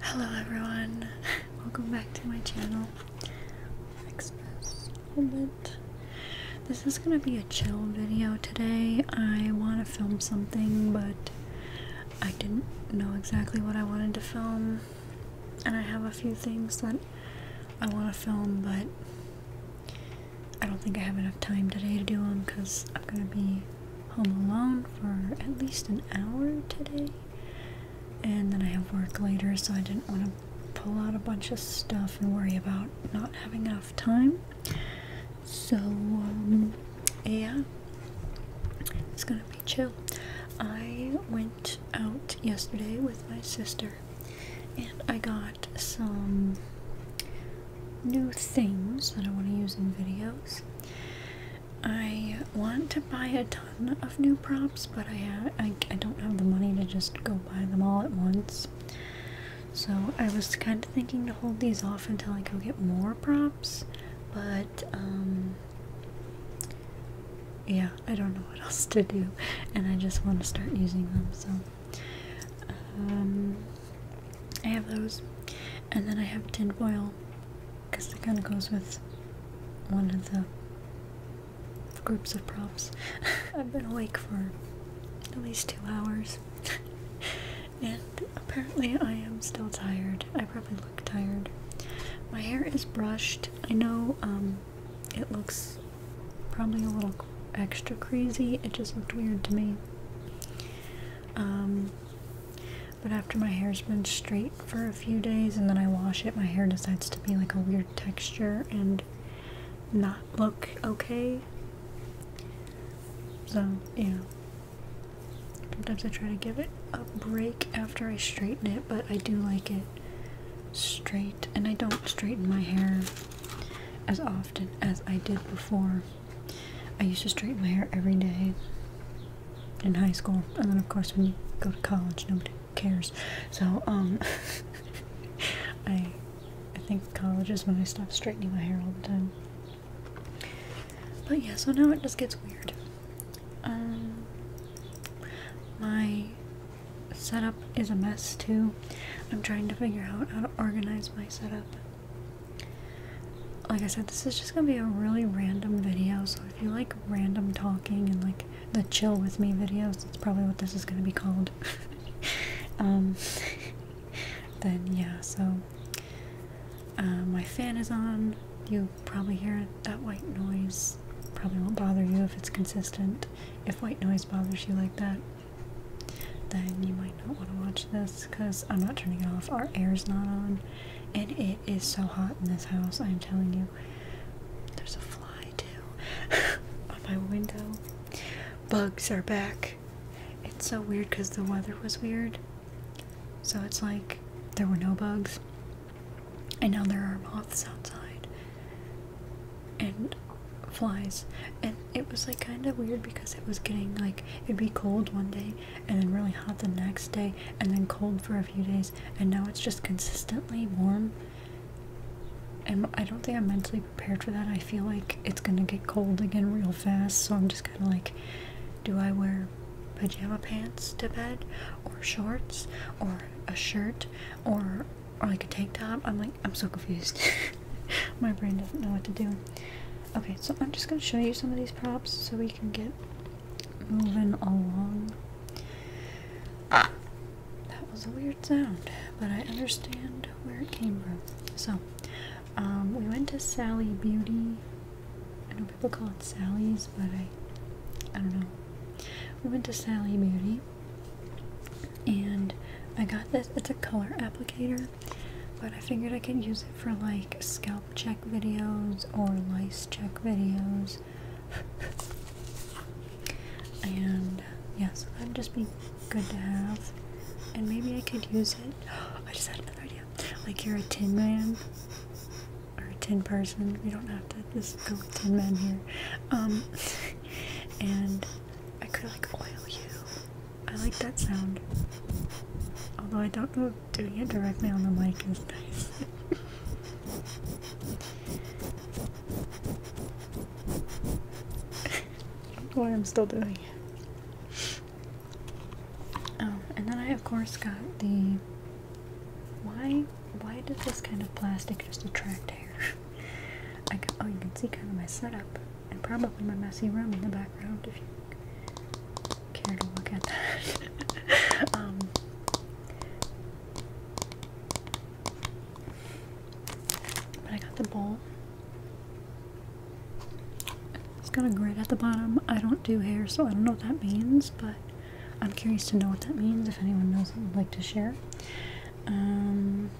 Hello everyone, welcome back to my channel. Fix this This is gonna be a chill video today. I want to film something, but I didn't know exactly what I wanted to film, and I have a few things that I want to film, but I don't think I have enough time today to do them because I'm gonna be home alone for at least an hour today. And then I have work later, so I didn't want to pull out a bunch of stuff and worry about not having enough time. So, um, yeah, it's gonna be chill. I went out yesterday with my sister and I got some new things that I want to use in videos. I want to buy a ton of new props, but I, I, I don't have the money to just go buy them all at once. So I was kind of thinking to hold these off until I go get more props, but um, yeah, I don't know what else to do, and I just want to start using them. So um, I have those, and then I have tinfoil because it kind of goes with one of the groups of props. I've been awake for at least two hours, and apparently I am still tired. I probably look tired. My hair is brushed. I know um, it looks probably a little extra crazy. It just looked weird to me. Um, but after my hair's been straight for a few days and then I wash it, my hair decides to be like a weird texture and not look okay. So, yeah. Sometimes I try to give it a break after I straighten it, but I do like it straight. And I don't straighten my hair as often as I did before. I used to straighten my hair every day in high school, and then of course when you go to college, nobody cares. So um, I think college is when I stop straightening my hair all the time. But yeah, so now it just gets weird. Um, my setup is a mess too. I'm trying to figure out how to organize my setup like I said, this is just gonna be a really random video. So if you like random talking and like the chill with me videos, it's probably what this is gonna be called. um, then yeah, so uh, my fan is on. You probably hear that white noise. Probably won't bother you if it's consistent. If white noise bothers you like that, then you might not want to watch this because I'm not turning it off. Our air's not on and it is so hot in this house. I'm telling you, there's a fly too on my window. Bugs are back. It's so weird because the weather was weird, so it's like there were no bugs, and now there are moths outside and flies. And it was like kind of weird because it was getting like it'd be cold one day, and then really hot the next day and then cold for a few days and now it's just consistently warm and I don't think I'm mentally prepared for that. I feel like it's gonna get cold again real fast, so I'm just kind of like, do I wear pajama pants to bed, or shorts, or a shirt, or or like a tank top? I'm like, I'm so confused. My brain doesn't know what to do. Okay, so I'm just gonna show you some of these props so we can get moving along. Ah, that was a weird sound, but I understand where it came from. So, um, we went to Sally Beauty. I know people call it Sally's, but I, I don't know. We went to Sally Beauty, and I got this. It's a color applicator, but I figured I could use it for like scalp check videos or lice check videos. and yeah, so that'd just be good to have. And maybe I could use it. I just had another idea. Like you're a tin man or a tin person. We don't have to just go with tin man here. Um, and I could like oil you. I like that sound. Although I don't know doing it directly on the mic is nice. I do why I'm still doing it. Um, and then I of course got the why why does this kind of plastic just attract hair? I oh you can see kind of my setup and probably my messy room in the background if you care to look at that. Um, but I got the bowl. It's got a grid at the bottom. I don't do hair, so I don't know what that means, but I'm curious to know what that means if anyone knows and would like to share. Um,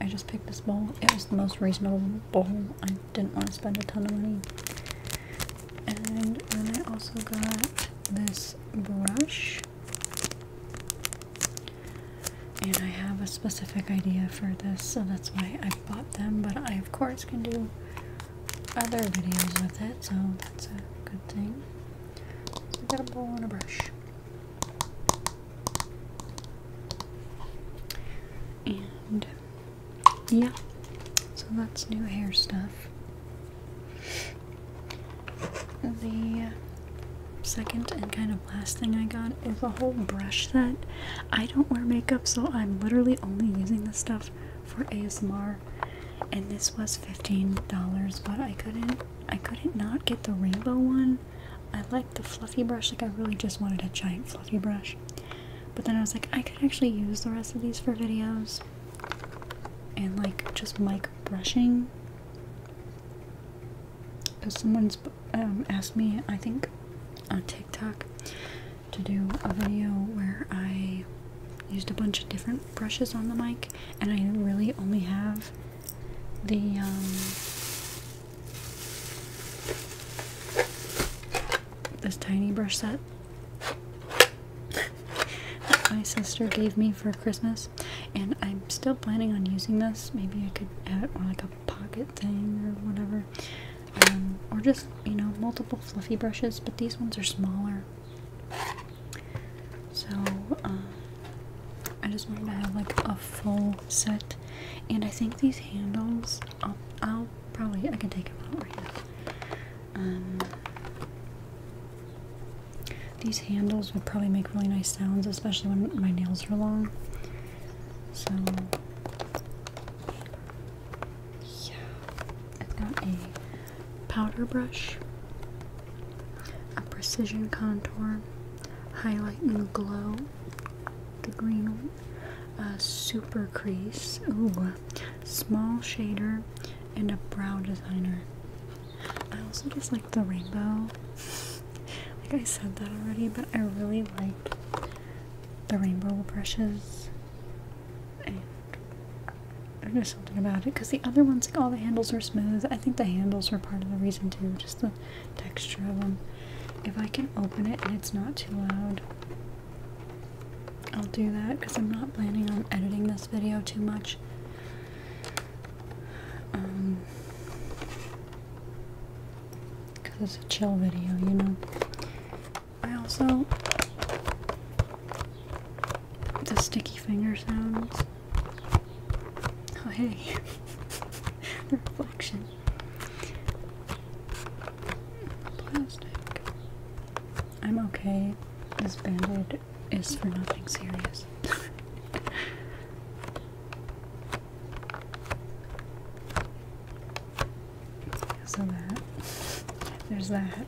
I just picked this bowl. It was the most reasonable bowl. I didn't want to spend a ton of money and then I also got this brush. And I have a specific idea for this, so that's why I bought them. But I, of course, can do other videos with it, so that's a good thing. I got a bowl and a brush. And yeah, so that's new hair stuff. The second and kind of last thing I got is a whole brush set. I don't wear makeup, so I'm literally only using this stuff for ASMR. And this was $15, but I couldn't I couldn't not get the rainbow one. I like the fluffy brush, like I really just wanted a giant fluffy brush. But then I was like, I could actually use the rest of these for videos and like just mic brushing. Because someone's um, asked me, I think on TikTok, to do a video where I used a bunch of different brushes on the mic, and I really only have the um, this tiny brush set that my sister gave me for Christmas, and I'm still planning on using this. Maybe I could have it on like a pocket thing or whatever, um, or just you know multiple fluffy brushes. But these ones are smaller, so um, I just wanted to have like a full set. And I think these handles I'll, probably, I can take them out right now. Um, these handles would probably make really nice sounds, especially when my nails are long. So, yeah. I've got a powder brush, a precision contour, highlight and glow, the green a uh, super crease. Ooh, small shader, and a brow designer. I also just like the rainbow. like I said that already, but I really liked the rainbow brushes. And there's something about it because the other ones, like all the handles are smooth. I think the handles are part of the reason too, just the texture of them. If I can open it and it's not too loud, I'll do that because I'm not planning on editing this video too much. Um, because it's a chill video, you know. I also the sticky finger sounds. Oh hey, the reflection. Plastic. I'm okay. This bandage is for nothing serious. so that there's that.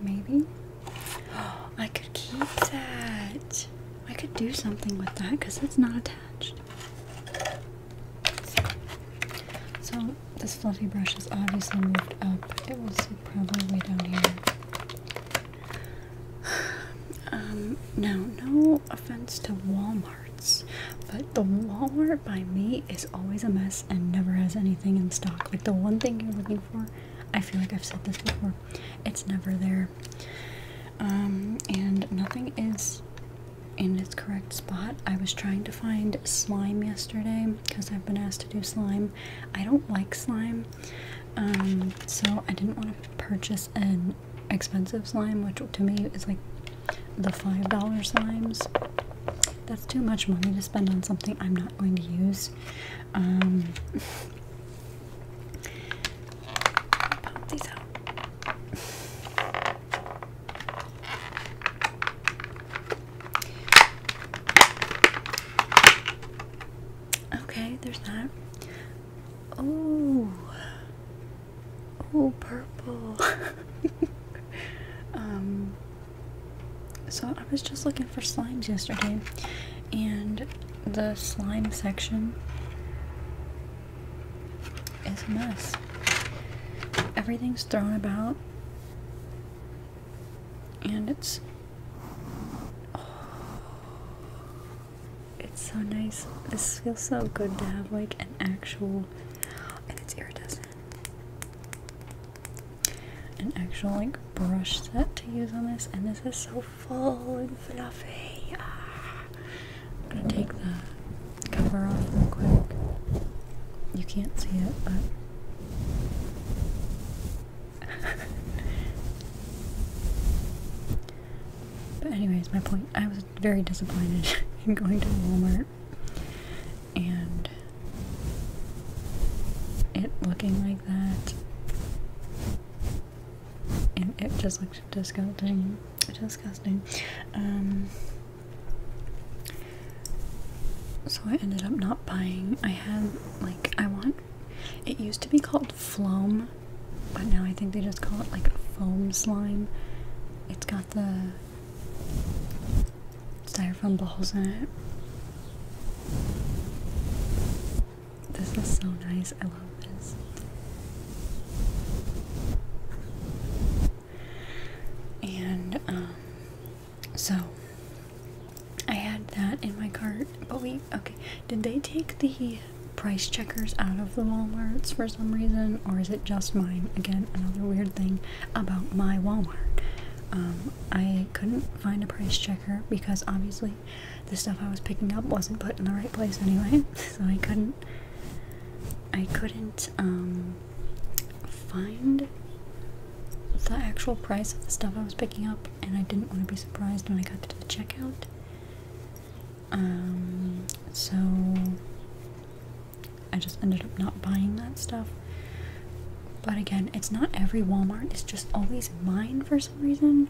Maybe I could keep that. I could do something with that because it's not attached. So, this fluffy brush is obviously moved up. It was probably down here. Um, now, no offense to Walmarts, but the Walmart by me is always a mess and never has anything in stock. Like the one thing you're looking for, I feel like I've said this before, it's never there. Um, and nothing is in its correct spot. I was trying to find slime yesterday because I've been asked to do slime. I don't like slime. Um, so I didn't want to purchase an expensive slime, which to me is like the $5 slimes. That's too much money to spend on something I'm not going to use. Um, okay, there's that. Oh, oh, purple. um, so I was just looking for slimes yesterday, and the slime section is a mess. Everything's thrown about, and it's. It's so nice. This feels so good to have like an actual and it's iridescent. An actual like brush set to use on this and this is so full and fluffy. Ah. I'm gonna take the cover off real quick. You can't see it, but but anyways, my point, I was very disappointed in going to Walmart and it looking like that. And it just looked disgusting. Disgusting. Um, so I ended up not buying. I had like I want. It used to be called Flom, but now I think they just call it like foam slime. It's got the styrofoam balls in it. This is so nice. I love this. And um so I had that in my cart, but we okay, did they take the price checkers out of the Walmarts for some reason, or is it just mine? Again, another weird thing about my Walmart. Um, I couldn't find a price checker because obviously the stuff I was picking up wasn't put in the right place anyway, so I couldn't. I couldn't um, find the actual price of the stuff I was picking up, and I didn't want to be surprised when I got to the checkout. Um, so I just ended up not buying that stuff. But again, it's not every Walmart, it's just always mine for some reason.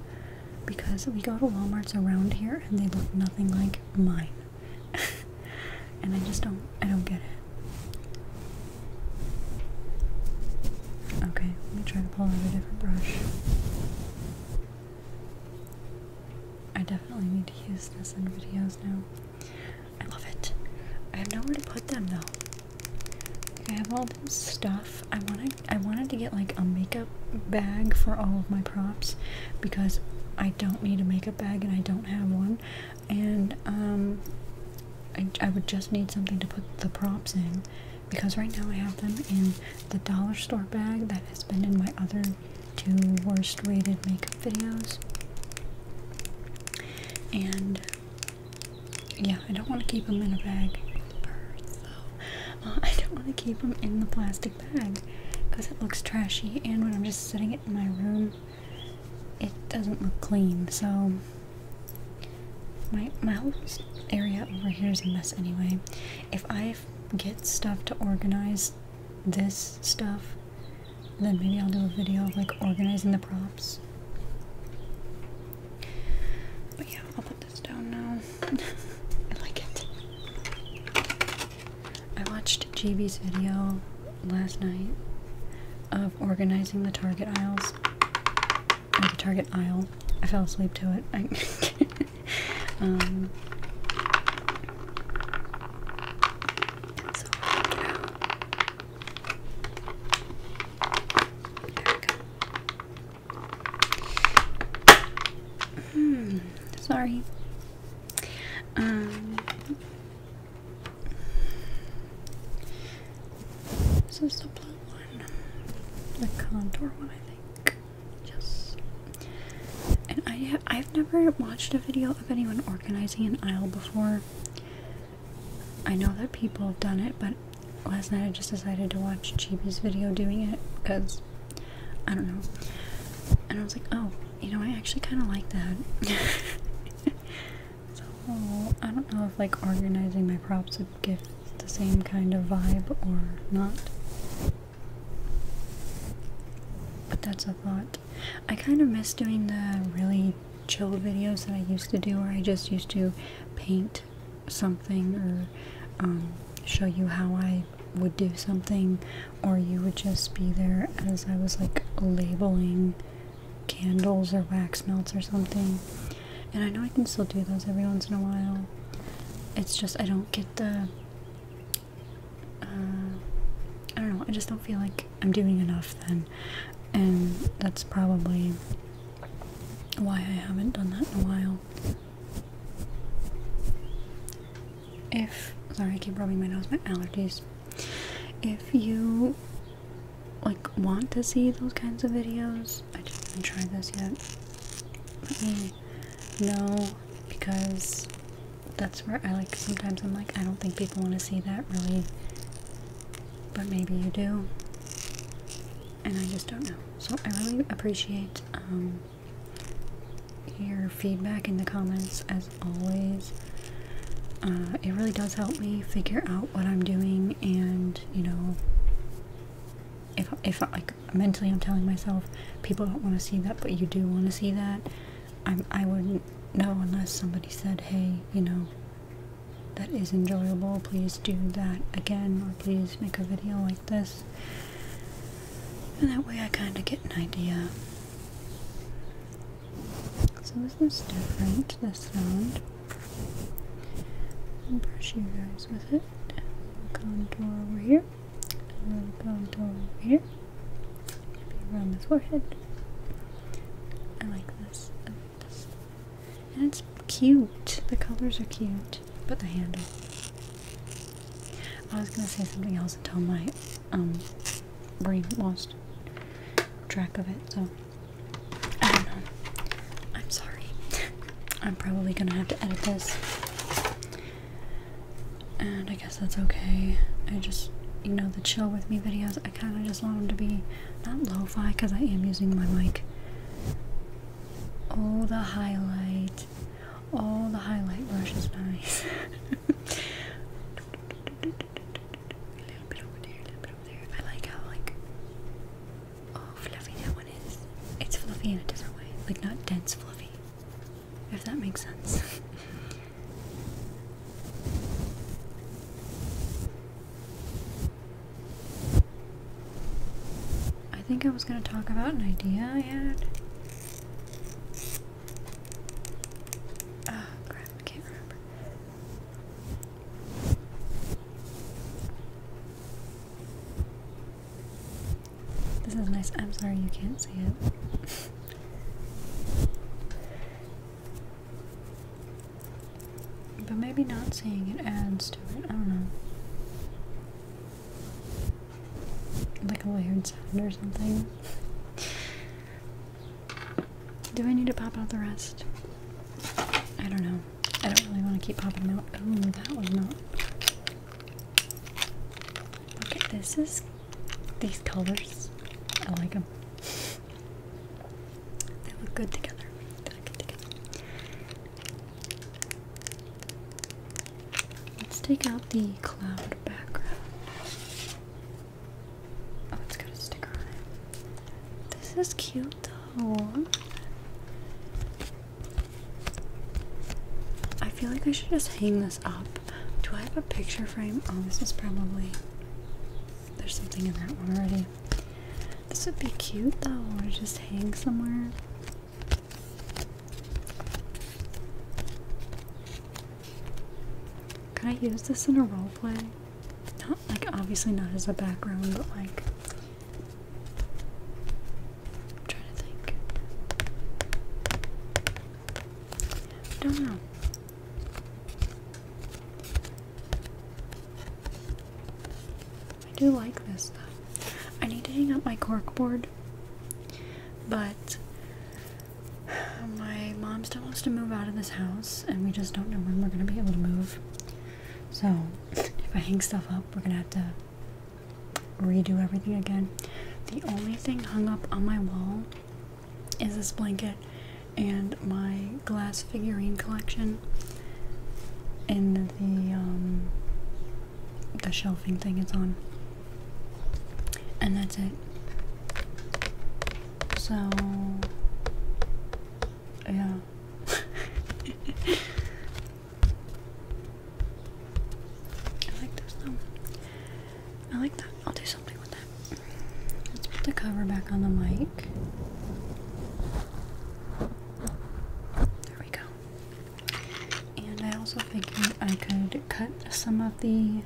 Because we go to Walmarts around here and they look nothing like mine. and I just don't I don't get it. Okay, let me try pull out a different brush. I definitely need to use this in videos now. I love it. I have nowhere to put them though. I have all this stuff. I wanted I wanted to get like a makeup bag for all of my props because I don't need a makeup bag and I don't have one. And um I, I would just need something to put the props in because right now I have them in the dollar store bag that has been in my other two worst rated makeup videos. And yeah, I don't want to keep them in a bag. Uh, I don't want to keep them in the plastic bag because it looks trashy, and when I'm just sitting it in my room, it doesn't look clean. So my my whole area over here is a mess anyway. If I get stuff to organize this stuff, then maybe I'll do a video like organizing the props. But yeah, I'll put this down now. I like it. I watched GB's video last night of organizing the Target aisles or the Target aisle. I fell asleep to it. Um, hmm, sorry. Um, so, so one. The Condor one, I think. Yes. And I have, I've never watched a video of anyone organizing an aisle before. I know that people have done it, but last night I just decided to watch Chibi's video doing it because I don't know. And I was like, oh, you know, I actually kind of like that. so I don't know if like organizing my props would give the same kind of vibe or not. But that's a thought. I kind of miss doing the really chill videos that I used to do where I just used to paint something or um, show you how I would do something or you would just be there as I was like labeling candles or wax melts or something. And I know I can still do those every once in a while. It's just I don't get the. Uh, I don't know, I just don't feel like I'm doing enough then. And that's probably why I haven't done that in a while. If. Sorry, I keep rubbing my nose, my allergies. If you like want to see those kinds of videos, I just haven't tried this yet let me know because that's where I like sometimes I'm like I don't think people want to see that really but maybe you do and I just don't know so I really appreciate um, your feedback in the comments as always uh, it really does help me figure out what I'm doing and you know if if like mentally I'm telling myself people don't want to see that, but you do want to see that. I'm I i would not know unless somebody said, hey, you know, that is enjoyable. Please do that again, or please make a video like this. And that way I kind of get an idea. So this is different, this sound brush you guys with it. Contour over here, a little contour over here, around the forehead. I like this. And it's cute. The colors are cute. But the handle. I was gonna say something else until my um, brain lost track of it, so I don't know. I'm sorry. I'm probably gonna have to edit this. And I guess that's okay. I just, you know, the chill with me videos, I kind of just want them to be not lo fi because I am using my mic. Oh, the highlight. All the highlight brush is nice. a little bit over there, a little bit over there. I like how, like, Oh, fluffy that one is. It's fluffy in a different way, like not dense fluffy, if that makes sense. I think I was going to talk about an idea I had. Oh crap, I can't remember. This is nice. I'm sorry you can't see it. but maybe not seeing it adds to it. I don't know. Like a weird sound or something. Do I need to pop out the rest? I don't know. I don't really want to keep popping them out. Oh, that was not. Look at this is these colors. I like them. They look good together. They look good together. Let's take out the cloud background. Oh, it's got a sticker on it. This is cute though. I feel like I should just hang this up. Do I have a picture frame? Oh, this is probably. There's something in that one already. This would be cute though, Or just hang somewhere. Can I use this in a roleplay? Not like obviously not as a background, but like I'm trying to think. I don't know. I do like this though. I need to hang up my corkboard, but my mom still wants to move out of this house, and we just don't know when we're gonna be able to move. So if I hang stuff up, we're gonna have to redo everything again. The only thing hung up on my wall is this blanket and my glass figurine collection and the um, the shelving thing is on. And that's it. So yeah. I like this though. I like that. I'll do something with that. Let's put the cover back on the mic. There we go. And I also figured I could cut some of the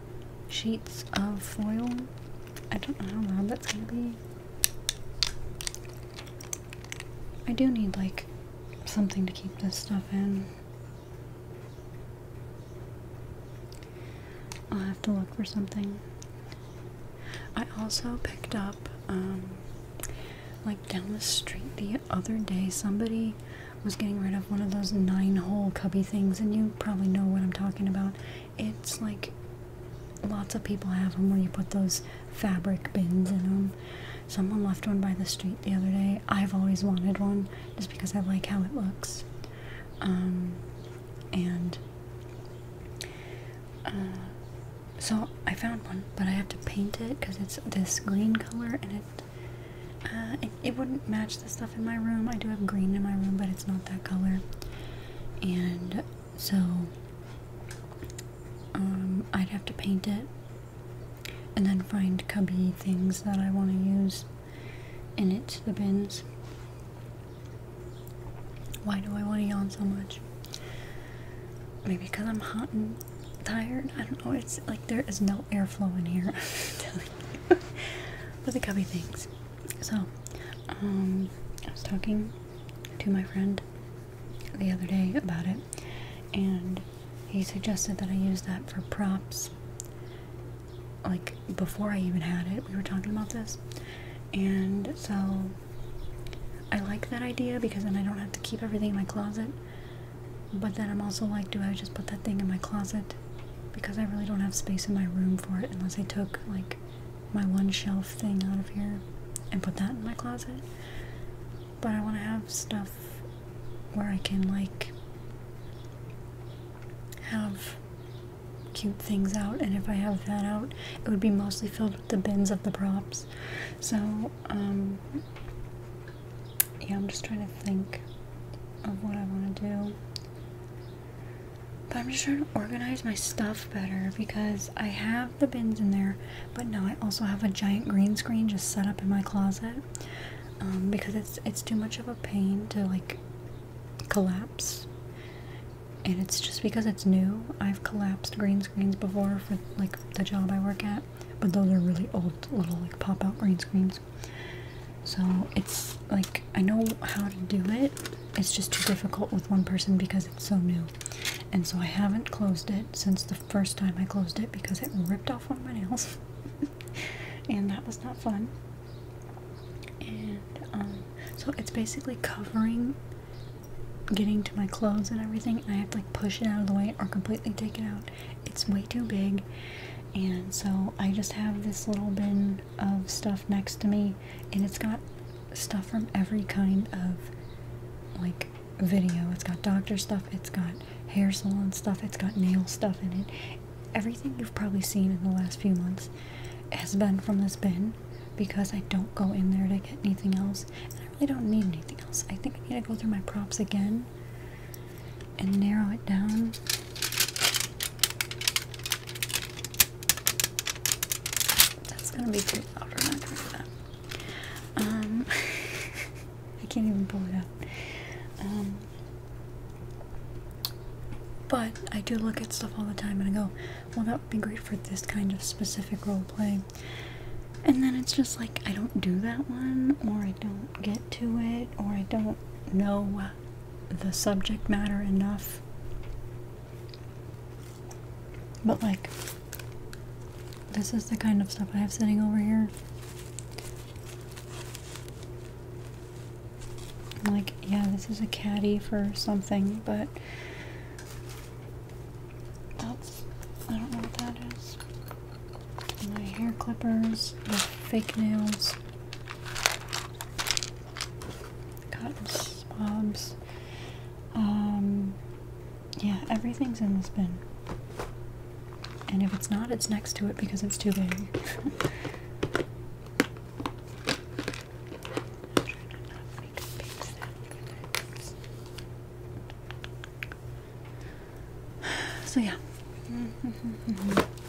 sheets of foil. I don't know how loud that's gonna be. I do need, like, something to keep this stuff in. I'll have to look for something. I also picked up, um, like down the street the other day, somebody was getting rid of one of those nine hole cubby things, and you probably know what I'm talking about. It's like Lots of people have them where you put those fabric bins in them. Someone left one by the street the other day. I've always wanted one just because I like how it looks. Um, and uh, so I found one, but I have to paint it because it's this green color and uh, it it wouldn't match the stuff in my room. I do have green in my room, but it's not that color. And so um, I'd have to paint it and then find cubby things that I want to use in it, the bins. Why do I want to yawn so much? Maybe because I'm hot and tired. I don't know. It's like there is no airflow in here. but the cubby things. So, um, I was talking to my friend the other day about it, and he suggested that I use that for props. Like before I even had it, we were talking about this, and so I like that idea because then I don't have to keep everything in my closet. But then I'm also like, do I just put that thing in my closet? Because I really don't have space in my room for it unless I took like my one shelf thing out of here and put that in my closet. But I want to have stuff where I can, like, have cute things out, and if I have that out, it would be mostly filled with the bins of the props. So, um, yeah, I'm just trying to think of what I want to do. But I'm just trying to organize my stuff better because I have the bins in there, but now I also have a giant green screen just set up in my closet um, because it's it's too much of a pain to like collapse. And it's just because it's new. I've collapsed green screens before for like the job I work at, but those are really old little like pop-out green screens. So it's like I know how to do it. It's just too difficult with one person because it's so new. And so I haven't closed it since the first time I closed it because it ripped off one of my nails. and that was not fun. And um, so it's basically covering getting to my clothes and everything. I have to like push it out of the way or completely take it out. It's way too big. And so I just have this little bin of stuff next to me, and it's got stuff from every kind of like video. It's got doctor stuff, it's got hair salon stuff, it's got nail stuff in it. Everything you've probably seen in the last few months has been from this bin because I don't go in there to get anything else. And I really don't need anything else. I think I need to go through my props again and narrow it down. That's gonna be too loud. We're not doing that. Um, I can't even pull it up. Um, but I do look at stuff all the time and I go, well, that would be great for this kind of specific role play. And then it's just like, I don't do that one, or I don't get to it, or I don't know the subject matter enough but like, this is the kind of stuff I have sitting over here. Like, yeah, this is a caddy for something, but that's, I don't know what that is. My hair clippers, fake nails, cottons, swabs, um, yeah, everything's in this bin. And if it's not, it's next to it because it's too big. So yeah,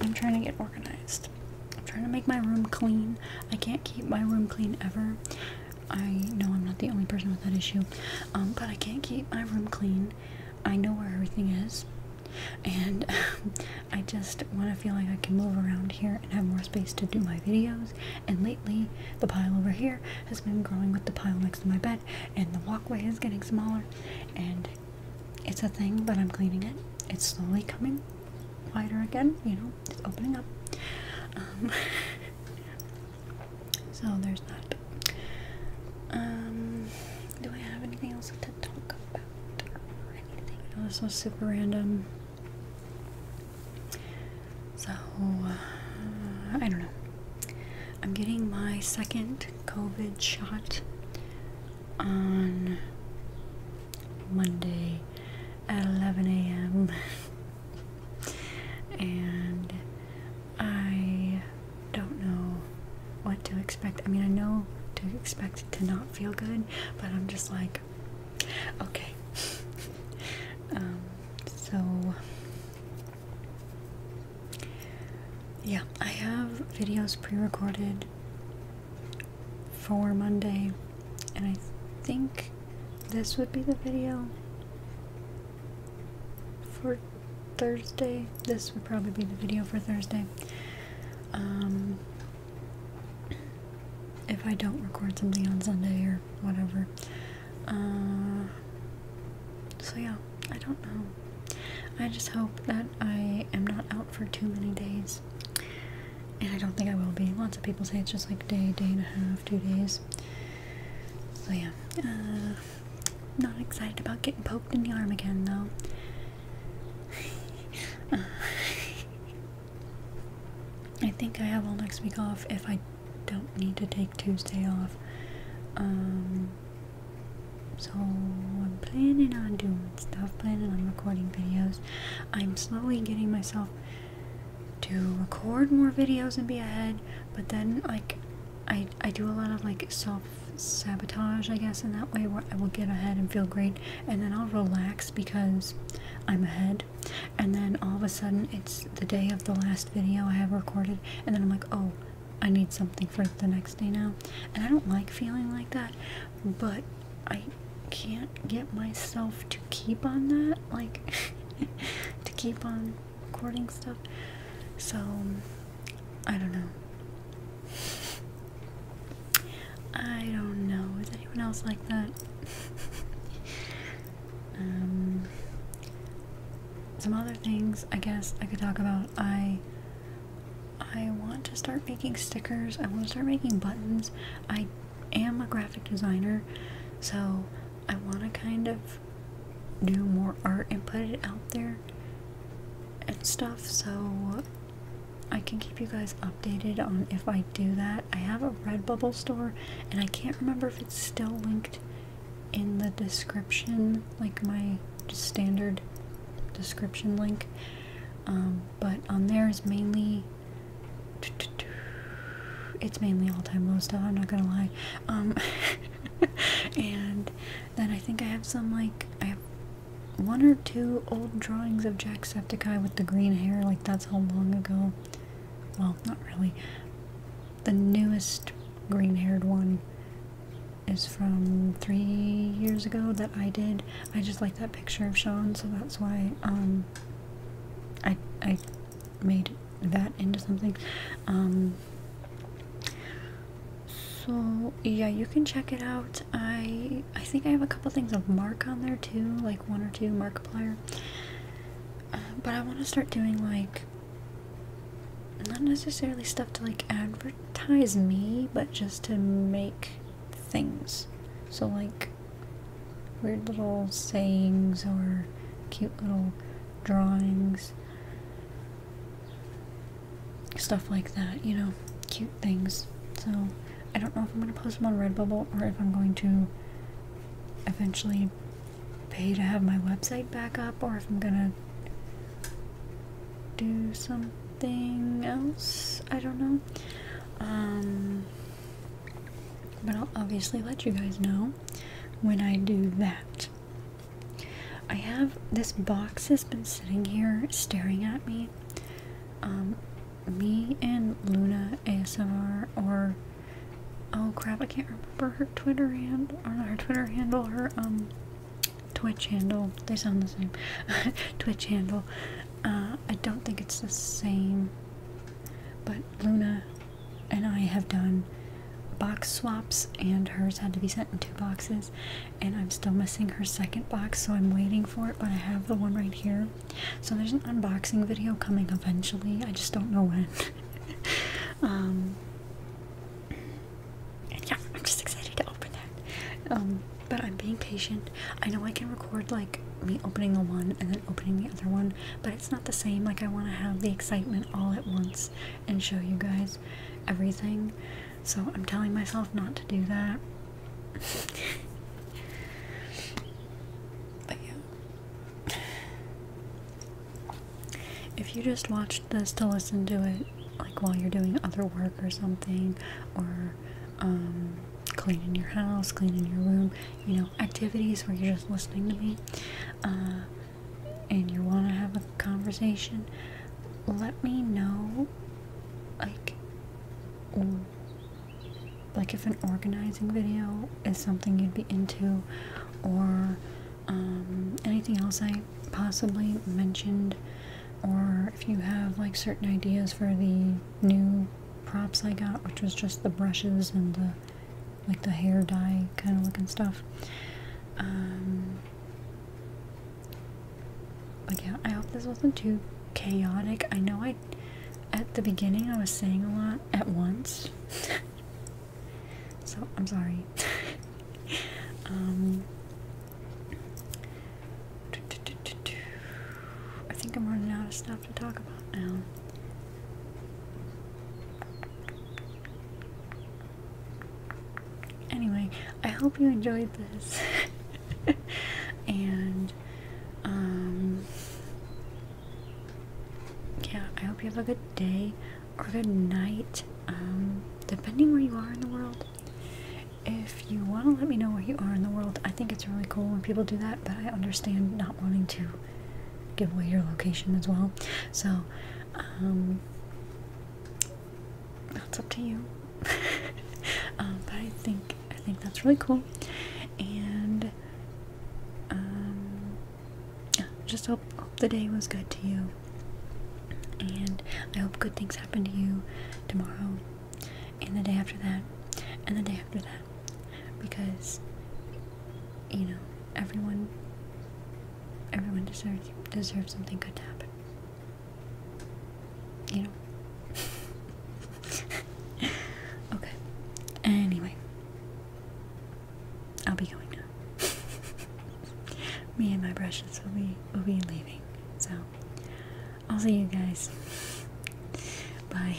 I'm trying to get organized. I'm trying to make my room clean. I can't keep my room clean ever. I know I'm not the only person with that issue, um, but I can't keep my room clean. I know where everything is, and I just want to feel like I can move around here and have more space to do my videos. And lately, the pile over here has been growing with the pile next to my bed, and the walkway is getting smaller. And it's a thing, but I'm cleaning it. It's slowly coming wider again, you know, it's opening up. Um, So there's that. Um, do I have anything else to talk about? Or anything? this was super random. So, uh, I don't know. I'm getting my second COVID shot on Monday, at 11 a.m. and I don't know what to expect. I mean, I know to expect to not feel good, but I'm just like, okay. um, so, yeah, I have videos pre recorded for Monday, and I think this would be the video for Thursday. This would probably be the video for Thursday. Um, if I don't record something on Sunday or whatever. Uh, so yeah, I don't know. I just hope that I am not out for too many days. And I don't think I will be. Lots of people say it's just like a day, day and a half, two days. So yeah, uh, not excited about getting poked in the arm again though. I think I have all next week off if I don't need to take Tuesday off. Um, so I'm planning on doing stuff, planning on recording videos. I'm slowly getting myself to record more videos and be ahead, but then like I I do a lot of like self sabotage I guess in that way where I will get ahead and feel great and then I'll relax because I'm ahead and then all of a sudden it's the day of the last video I have recorded and then I'm like oh I need something for the next day now and I don't like feeling like that but I can't get myself to keep on that, like to keep on recording stuff. So I don't know. I don't know. Is anyone else like that? um, some other things I guess I could talk about. I I want to start making stickers. I want to start making buttons. I am a graphic designer, so I want to kind of do more art and put it out there and stuff so I can keep you guys updated on if I do that. I have a Redbubble store and I can't remember if it's still linked in the description, like my standard description link. Um, but on there is mainly it's mainly all-time low stuff. I'm not gonna lie. Um, and then I think I have some like I have one or two old drawings of Jacksepticeye with the green hair. Like that's how long ago. Well, not really. The newest green-haired one is from three years ago that I did. I just like that picture of Sean, so that's why um, I I made that into something um so yeah you can check it out i i think i have a couple things of mark on there too like one or two markiplier uh, but i want to start doing like not necessarily stuff to like advertise me but just to make things so like weird little sayings or cute little drawings. Stuff like that, you know, cute things. So, I don't know if I'm going to post them on Redbubble or if I'm going to eventually pay to have my website back up or if I'm going to do something else. I don't know. Um, but I'll obviously let you guys know when I do that. I have this box has been sitting here staring at me. Um, me and Luna ASMR or oh crap, I can't remember her Twitter handle or not her Twitter handle, her um Twitch handle. They sound the same. Twitch handle. Uh, I don't think it's the same. But Luna and I have done box swaps, and hers had to be sent in two boxes. And I'm still missing her second box, so I'm waiting for it. But I have the one right here. So there's an unboxing video coming eventually. I just don't know when. um, yeah, I'm just excited to open that. Um, but I'm being patient. I know I can record like me opening the one and then opening the other one but it's not the same. Like, I want to have the excitement all at once and show you guys everything. So, I'm telling myself not to do that. but yeah. If you just watched this to listen to it, like while you're doing other work or something, or um, cleaning your house, cleaning your room, you know, activities where you're just listening to me uh, and you want to have a conversation, let me know, like, like if an organizing video is something you'd be into, or um, anything else I possibly mentioned, or if you have like certain ideas for the new props I got, which was just the brushes and the like the hair dye kind of looking stuff. Um, but yeah, I hope this wasn't too chaotic. I know I, at the beginning, I was saying a lot at once. so I'm sorry. um, I think I'm running out of stuff to talk about now. Anyway, I hope you enjoyed this. and, um, yeah, I hope you have a good day or good night, um, depending where you are in the world. If you want to let me know where you are in the world, I think it's really cool when people do that, but I understand not wanting to give away your location as well. So, um, that's up to you. Um, but I think I think that's really cool, and um, just hope the day was good to you, and I hope good things happen to you tomorrow, and the day after that, and the day after that because you know everyone everyone deserves deserves something good to happen. You know. okay. Anyway, I'll be going now. Me and my brushes will be will be leaving. So I'll see you guys. Bye.